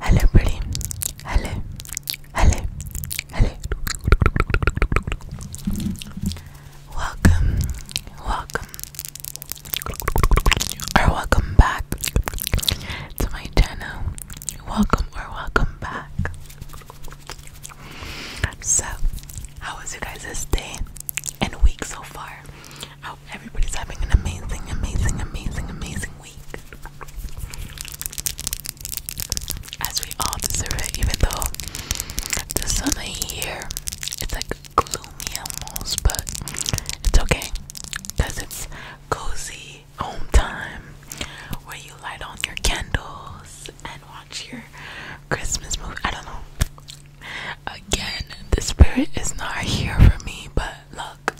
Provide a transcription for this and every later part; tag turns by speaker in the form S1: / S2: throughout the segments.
S1: Hello, pretty. Hello, hello, hello. Welcome, welcome, or welcome back to my channel. Welcome or welcome back. So, how was you guys' day and week so far? everybody's having an amazing, amazing, amazing, amazing week. As we all deserve it, even though the summer here it's like gloomy almost, but it's okay because it's cozy home time where you light on your candles and watch your Christmas movie. I don't know. Again, the spirit is not here for me, but look,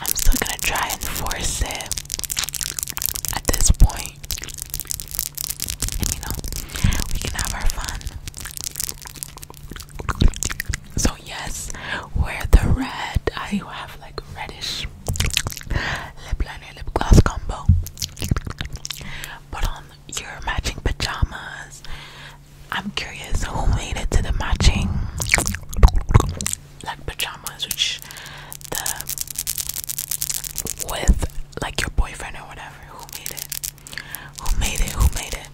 S1: I'm still gonna try and force it at this point. And you know, we can have our fun. So, yes, wear the red. I have like reddish lip liner, lip gloss combo. Put on your matching pajamas. I'm curious who made it to the matching like pajamas, which the with like your boyfriend or whatever. Who made it? Who made it? Who made it?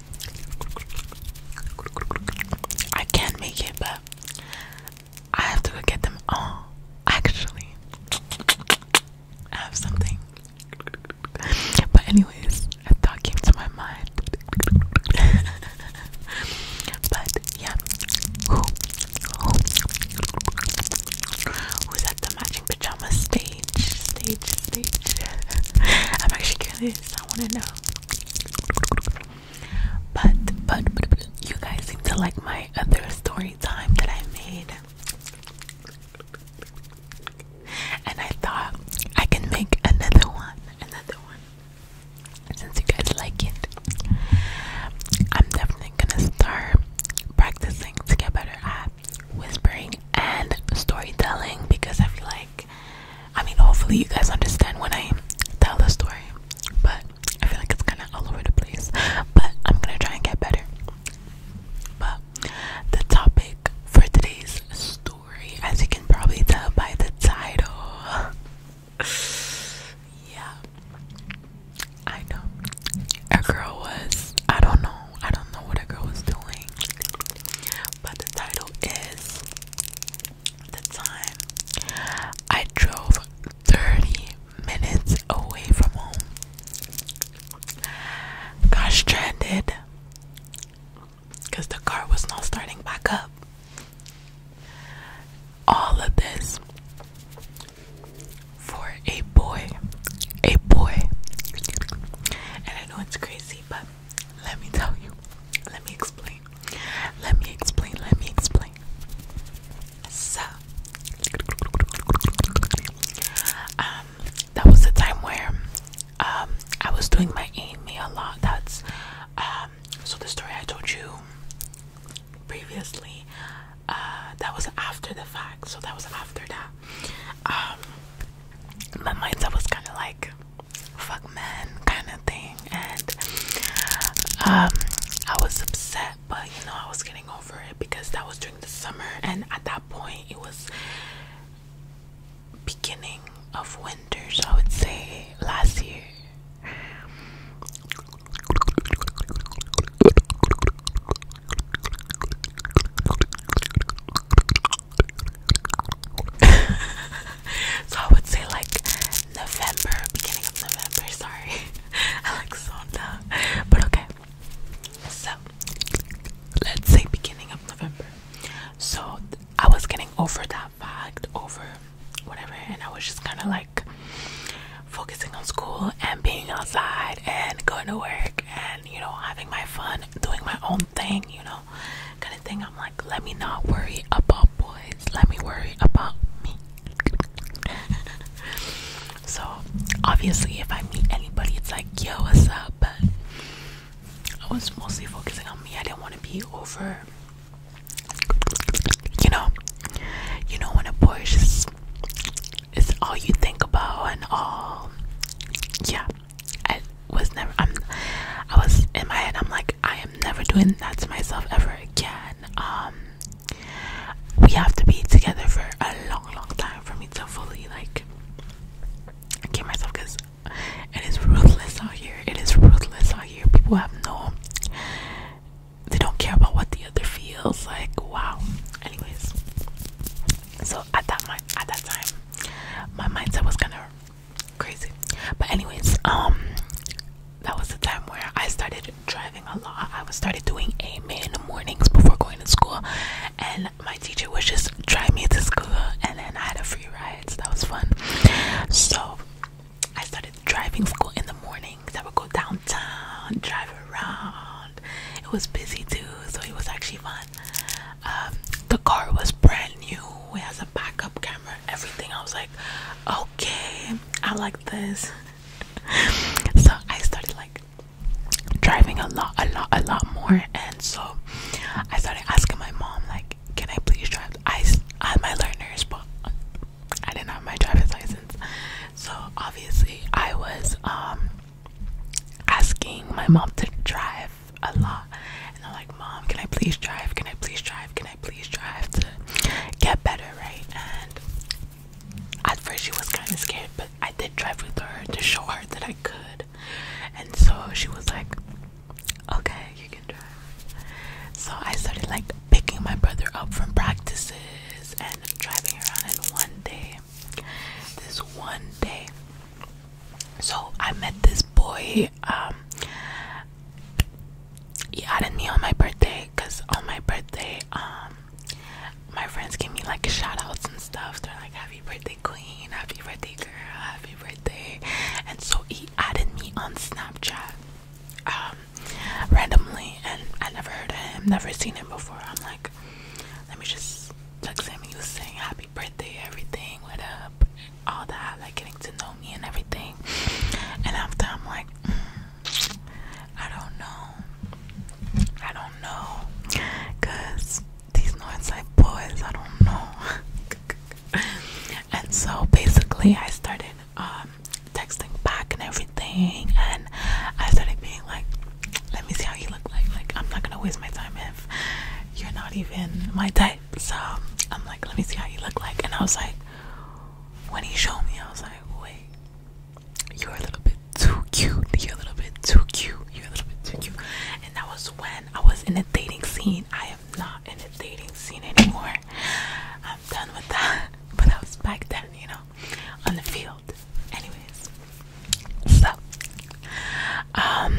S1: I can't make it, but I have to go get them all. Actually, I have something. But anyway, always that came to my mind. but yeah, who's at the matching pajama stage? Stage, stage. I'm actually curious. I want to know. but, but, but, you guys seem to like my other story time that I made. And I thought I can make another one, another one, since you guys like it, I'm definitely gonna start practicing to get better at whispering and storytelling because I feel like, I mean, hopefully, you guys understand when I tell the story, but I feel like it's kind of all over the place. But I'm gonna try and get better. But the topic for today's story as you can probably tell by the title. yeah, I know. A girl was, I don't know, I don't know what a girl was doing, but the title is The Time I Drove 30 Minutes Away from Home. Gosh, stranded because the car was not starting back up. All of this for a boy, a boy. And I know it's crazy, but let me tell you, let me explain, let me explain, let me explain. So, um, that was the time where um, I was doing my email a lot. That's um, so the story I told you previously. Uh, that was after the fact, so that was after that. Um, my mindset was kind of like fuck men kind of thing, and um, I was upset, but you know I was getting over it because that was during the summer, and at that point it was beginning of winters, I would say last year. so I would say like November, beginning of November, sorry. I But okay. So let's say beginning of November. So I was getting over that fact, over whatever, and I was just kind of like focusing on school and being outside and going to work and you know having my fun, doing my own thing, you know, kind of thing. I'm like, let me not worry about boys, let me worry about me. so obviously, if I meet anybody, it's like, yo, what's up? I was mostly focusing on me. I didn't want to be over. You know, you know when a boy is just, it's all you think about and all. Yeah, I was never. I'm. I was in my head. I'm like, I am never doing that to myself ever again. Um, we have to be together for a long, long time for me to fully like I get myself because it is ruthless out here. It is ruthless out here. People have no they don't care about what the other feels like. Wow. Anyways. So at that my at that time my mindset was kinda crazy. But anyways, um that was the time where I started driving a lot. I was started doing AMA in the mornings before going to school and my teacher would just drive me to school and then I had a free ride that was fun. So I started driving school in the morning. That would go downtown, drive around. It was busy too, so it was actually fun. Um, the car was brand new. It has a backup camera, everything. I was like, okay, I like this. so I started like driving a lot, a lot, a lot more, and so I started asking my mom like, can I please drive? I had my learners, but I didn't have my driver's license. So obviously, I was um asking my mom to drive a lot, and I'm like, Mom, can I please drive? Can I please drive? Can I please drive to get better, right? And at first, she was kind of scared, but I did drive with her to show her that I could. And so she was like, okay, you can drive. So I started like picking my brother up from practices and driving around. And one day, this one day, so I met this boy. Um, he added me on my birthday because on my birthday, um, my friends gave me like shout outs and stuff. They're like, Happy birthday, Queen, Happy birthday, girl, Happy family there, and so he added me on Snapchat um, randomly, and I never heard of him, never seen him before. I'm like, let me just text him. He was saying happy birthday, everything, what up, all that, like getting to know me and everything. And after I'm like, mm, I don't know, I don't know, cause these Northside boys, I don't know. and so basically, I started um, texting back and everything, and I started being like, "Let me see how you look like. Like, I'm not gonna waste my time if you're not even my type." So I'm like, "Let me see how you look like," and I was like, when he showed me, I was like, "Wait." You're a little bit too cute. You're a little bit too cute. You're a little bit too cute. And that was when I was in a dating scene. I am not in a dating scene anymore. I'm done with that. But I was back then, you know, on the field. Anyways, so um,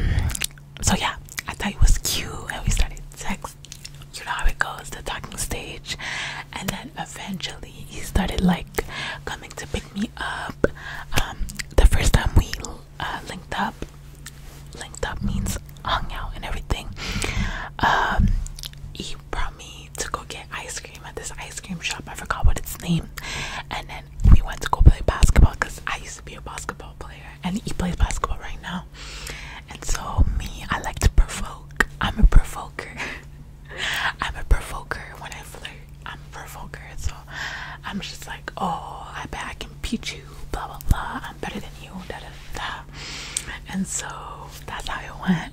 S1: so yeah, I thought it was cute, and we started texting. You know how it goes, the talking stage, and then eventually he started like coming to pick me up. Um, the first time we uh, linked up, linked up means hung out and everything. Um, he brought me to go get ice cream at this ice cream shop. I forgot what its name. And then we went to go play basketball because I used to be a basketball player and he plays basketball right now. And so me, I like to provoke. I'm a provoker. I'm a provoker when I flirt. I'm a provoker. I'm just like, oh, I bet I can beat you, blah blah blah. I'm better than you, da da da. And so that's how it went.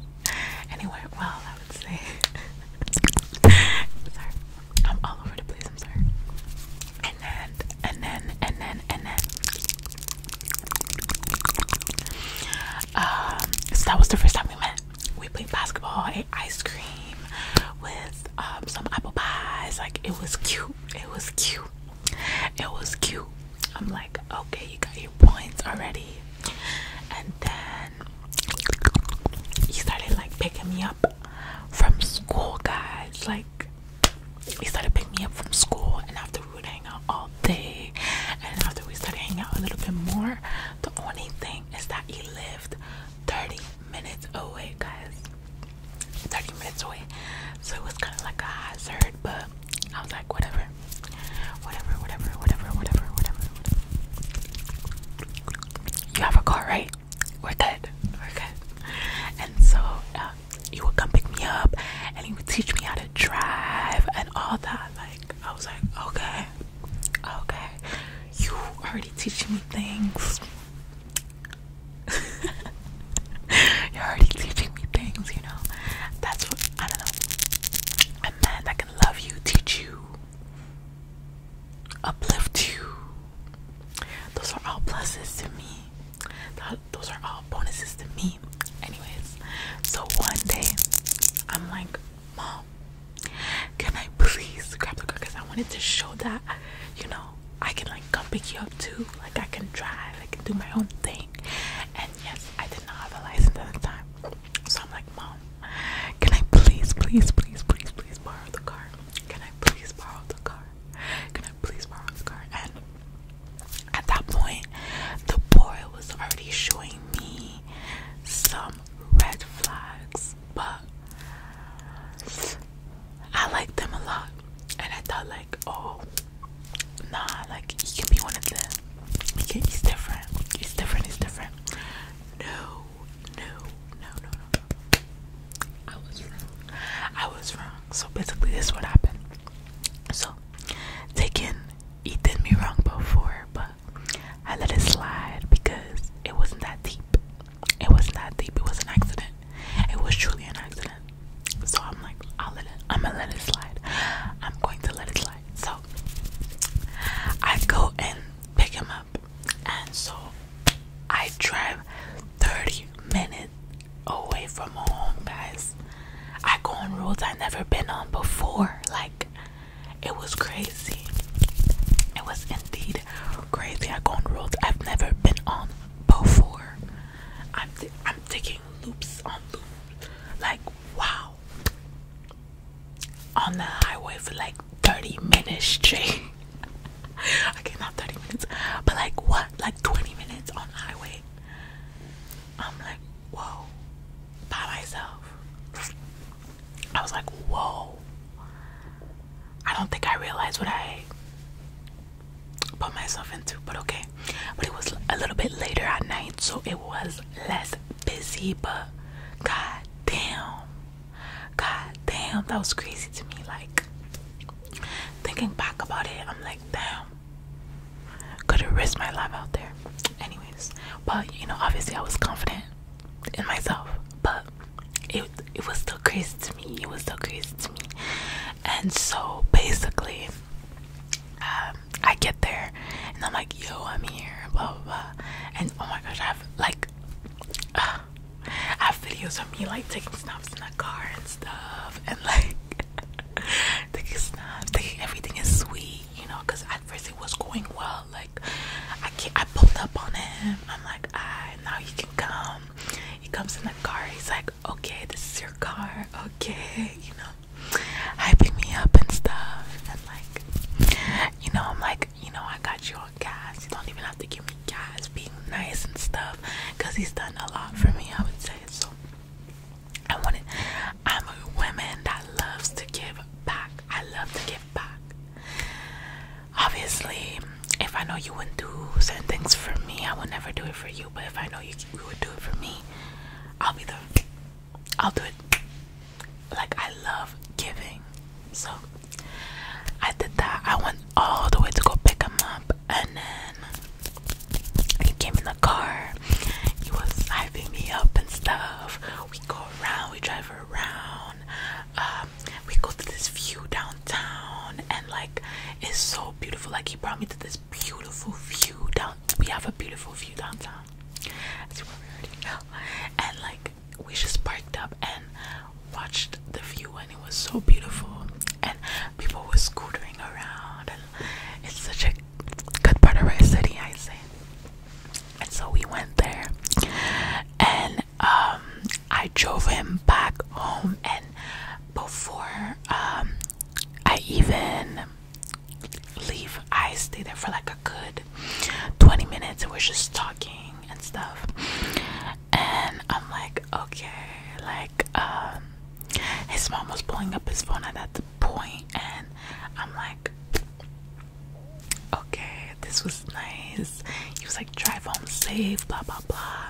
S1: Anyway, well, I would say, sorry, I'm all over the place. I'm sorry. And then, and then, and then, and then. Um, so that was the first time we met. We played basketball, ate ice cream with um, some apple pies. Like it was cute. It was cute. It was cute. I'm like, okay, you got your points already. And then he started like picking me up from school, guys. Like he started picking me up from school, and after we would hang out all day, and after we started hanging out a little bit more, the only thing is that he lived 30 minutes away, guys. 30 minutes away. So it was kind of like a hazard, but I was like, whatever. Whatever, whatever, whatever, whatever, whatever. You have a car, right? We're good. We're good. And so uh, you would come pick me up and you would teach me how to drive and all that. Like, I was like, okay, okay. You already teaching me things. You're already teaching me things, you know. That's what I don't know. A man that can love you, teach you, uplift you. Those are all blessings to me. Those are all bonuses to me. Anyways, so one day I'm like, Mom, can I please grab the car? Because I wanted to show that, you know, I can like come pick you up too. Like I can drive, I can do my own thing. And yes, I did not have a license at the time. So I'm like, Mom, can I please, please, please, please, please borrow the car? Can I please borrow the car? Can I please borrow the car? And at that point, the boy was already showing me some red flags, but I liked them a lot, and I thought like, oh, nah, like he can be one of them. He can, he's different. He's different. He's different. No, no, no, no, no. I was wrong. I was wrong. So basically, this is what happened. So, taking he did me wrong before, but I let it slide because it wasn't that deep. It was not deep. It was an accident. It was truly an accident. So I'm like, I'll let it. I'm gonna let it slide. I'm going to let it slide. So I go and pick him up, and so I drive 30 minutes away from home, guys. I go on roads I never been on before. Like it was crazy. It was indeed Crazy, I go on roads I've never been on before. I'm I'm taking loops on loops. Like wow. On the highway for like 30 minutes straight. okay, 30 minutes, but like what? Like 20 minutes on the highway. I'm like, whoa. By myself. I was like, whoa. I don't think I realized what I put myself into, but okay. But it was a little bit later at night, so it was less busy, but god damn. God damn, that was crazy to me. Like thinking back about it, I'm like, damn. Could have risked my life out there. Anyways. But you know, obviously I was confident in myself. But it it was still crazy to me. It was still crazy to me. And so basically, um, I get there and I'm like, yo, I'm here, blah blah blah. And oh my gosh, I have like, I have videos of me like taking snaps in the car and stuff, and like taking snaps, everything is sweet, you know, because at first it was going well. Like I, I pulled up on him. I'm like, I and now you can come. He comes in the car. He's like, okay, this is your car. Okay, you know, hyping me up and stuff. And like, you know, I'm like, you know, I got you on gas. You don't even have to give me gas. Being nice and stuff, cause he's done a lot for me. I would say so. I want it. I'm a woman that loves to give back. I love to give back. Obviously, if I know you wouldn't do certain things for me, I will never do it for you. But if I know you, you would do it for me, I'll be the. I'll do it. Like I love giving, so I did that. I went all the way to go pick him up, and then he came in the car. He was hyping me up and stuff. We go around. We drive around. Um, we go to this view downtown, and like it's so beautiful. Like he brought me to this beautiful view down. We have a beautiful view downtown, That's as you probably already now. And like we just parked up and watched the view, and it was so beautiful. And people were scootering around, and it's such a good part of our city, I say. And so we went there, and um, I drove him back home, and before um, I even leave, I stay there for like a good 20 minutes, and we're just talking and stuff. And I'm like, okay, like, um, his mom was pulling up his phone at that point, and I'm like, okay, this was nice. He was like, drive home safe, blah blah blah.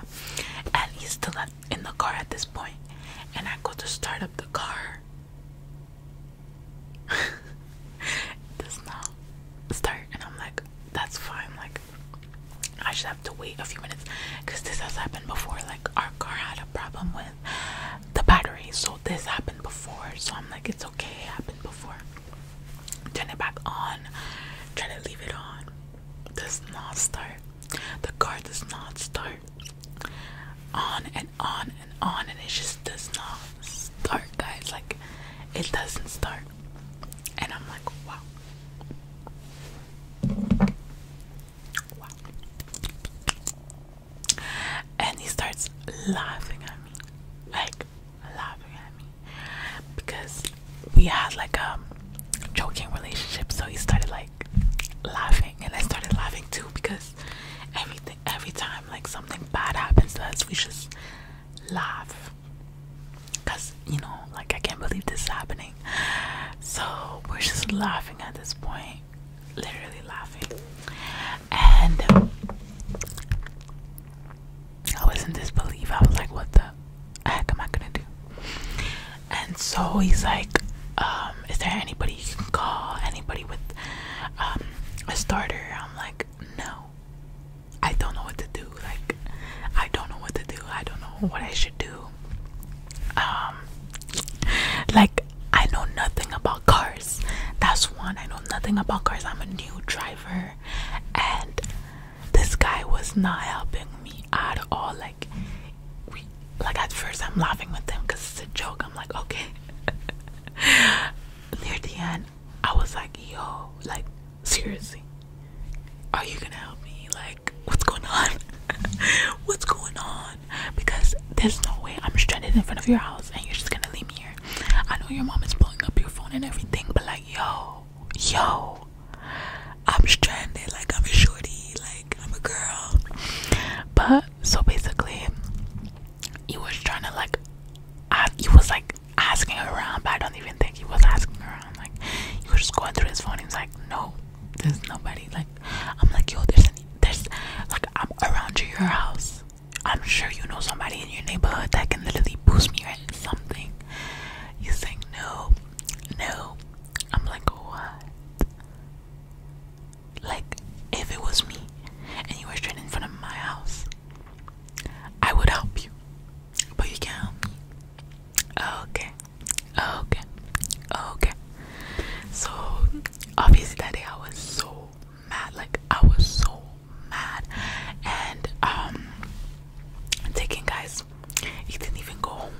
S1: And he's still in the car at this point. And I go to start up the car. it does not start, and I'm like, that's fine. Like, I should have to wait a few minutes because this has happened before. Like, our car had a problem with the battery, so this happened before. So I'm like, it's okay, it happened before. Turn it back on. Try to leave it on. Does not start. The car does not start. On and on and on, and it just does not start, guys. Like, it doesn't start. And I'm like, wow. Wow. And he starts laughing at me. Like, laughing at me because we had like a joking relationship. So he started like laughing, and I started laughing too because everything, every time like something bad happens us, we just laugh. Cause you know, like I can't believe this is happening. So we're just laughing at this point, literally laughing, and I was in disbelief. I was like, what the heck am I gonna do? And so he's like, um, is there anybody you can call? Anybody with um, a starter? I'm like, no. I don't know what to do. Like, I don't know what to do. I don't know what I should do. Um, like, I know nothing about cars. That's one. I know nothing about cars. I'm a new driver and this guy was not helping me at all like we like at first i'm laughing with him because it's a joke i'm like okay near the end i was like yo like seriously are you gonna help me like what's going on what's going on because there's no way i'm stranded in front of your house and you're just gonna leave me here i know your mom is blowing up your phone and everything but like yo, yo, I'm stranded, like I'm a shorty, like I'm a girl. But so basically, he was trying to like, I, he was like asking around, but I don't even think he was asking around. Like he was just going through his phone. He was like, no, there's nobody. Like I'm like, yo, there's an, there's like I'm around your house. I'm sure you know somebody in your neighborhood that can literally boost me at something. You say no, no. I'm like, what? Like, if it was me and you were straight in front of my house, I would help you. But you can't help me. Okay. Okay. Okay. So obviously that I was so mad. Like I was so mad. And um taking guys, he didn't even go home.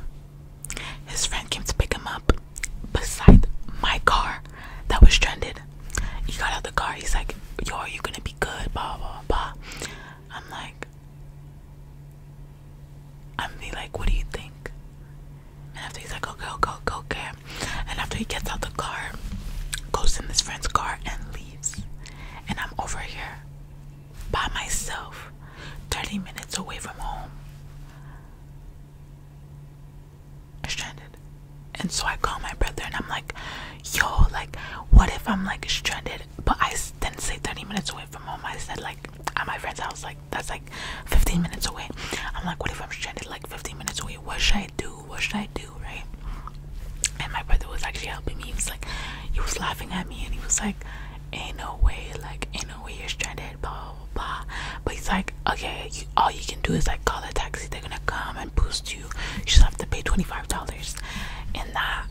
S1: His friend came to pick him up beside my car that was stranded. He got out of the car, he's like, Yo, are you gonna be good? Blah blah blah. I'm like I'm be like, what do you think? And after he's like, okay, go, go, okay. And after he gets out the car, goes in his friend's car and leaves. And I'm over here by myself, 30 minutes away from home, stranded. And so I call my brother and I'm like, yo, like, what if I'm like stranded? But I didn't say 30 minutes away from home. I said, like, at my friend's house, like, that's like 15 minutes away. I'm like, what if I'm stranded like 15 minutes away? Where should I do? What should I do? Right? And my brother was actually helping me. He was like, he was laughing at me, and he was like, "Ain't no way, like, ain't no way you're stranded." Blah blah blah. But he's like, "Okay, all you can do is like call a taxi. They're gonna come and boost you. You just have to pay twenty five dollars." And that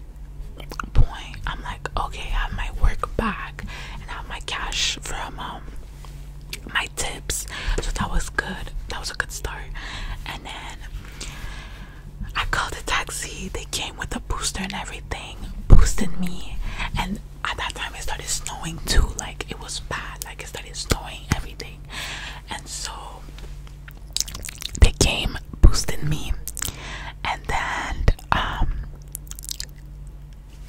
S1: point, I'm like, "Okay, I have my work back and have my cash from um." my tips so that was good that was a good start and then I called a taxi. They came with a booster and everything, boosted me. And at that time, it started snowing too. Like it was bad. Like it started snowing, everything. And so they came, boosted me, and then um,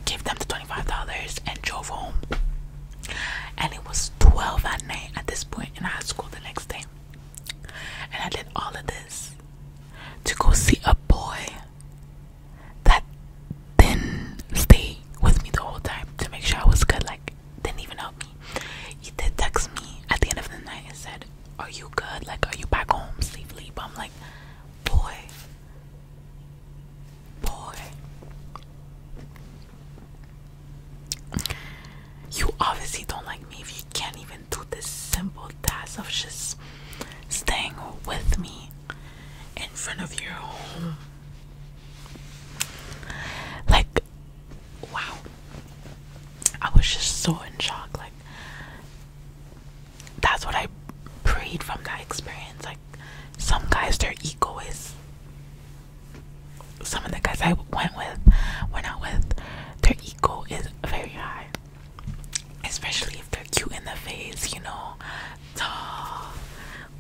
S1: gave them the twenty-five dollars and drove home and it was 12 at night at this point in high school the next day and i did all of this to go see a boy that didn't stay with me the whole time to make sure i was good like didn't even help me he did text me at the end of the night and said are you good like are you back home safely but i'm like boy boy you obviously don't like me if you can't even do this simple task of just staying with me in front of your home. Like, wow. I was just so in shock. Like, that's what I breed from that experience. Like, some guys, their ego is some of the guys I went with, went out with, their ego is very high. Especially if they're cute in the face, you know, tall,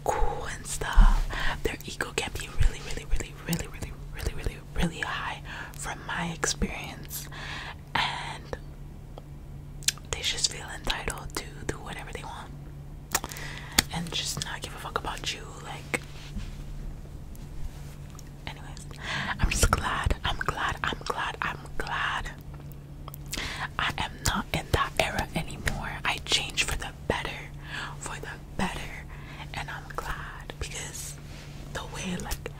S1: cool and stuff. Their ego can be really, really, really, really, really, really, really, really high from my experience. And they just feel entitled to do whatever they want and just not give a fuck about you. Like, anyways, I'm just glad. I'm glad. I'm glad. I'm glad. I am not in that era anymore. I changed for the better, for the better, and I'm glad because the way like,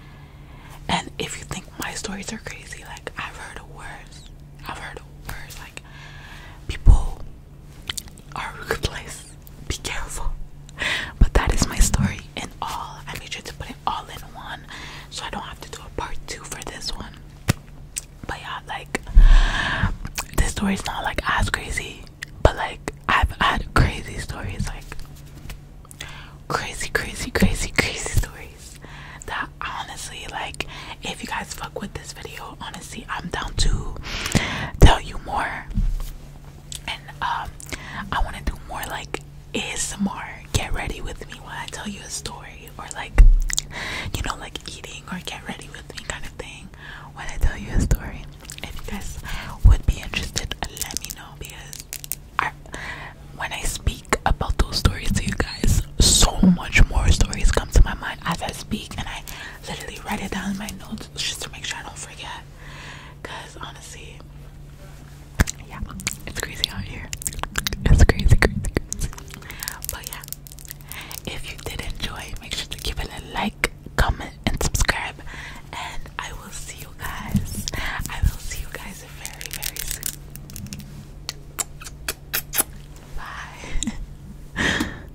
S1: and if you think my stories are crazy, like I've heard worse. I've heard worse. Like people our place. Be careful. But that is my story and all. I made sure to put it all in one so I don't have to do a part two for this one. But yeah, like this story's not like as crazy, but like I've had crazy stories, like crazy, crazy, crazy, crazy stories that honestly, like if you guys fuck with this video, honestly. See, i'm down to tell you more and um i want to do more like is more get ready with me while i tell you a story or like you know like eating or get ready with me kind of thing when i tell you a story if you guys would be interested let me know because I, when I speak about those stories to you guys, so much more stories come to my mind as I speak, and I literally write it down in my notes just to make sure I don't forget. Cause honestly, yeah, it's crazy out here. It's crazy, crazy, crazy. But yeah, if you did enjoy, make sure to give it a like, comment, and subscribe. And I will see you guys. I will see you guys very, very soon. Bye.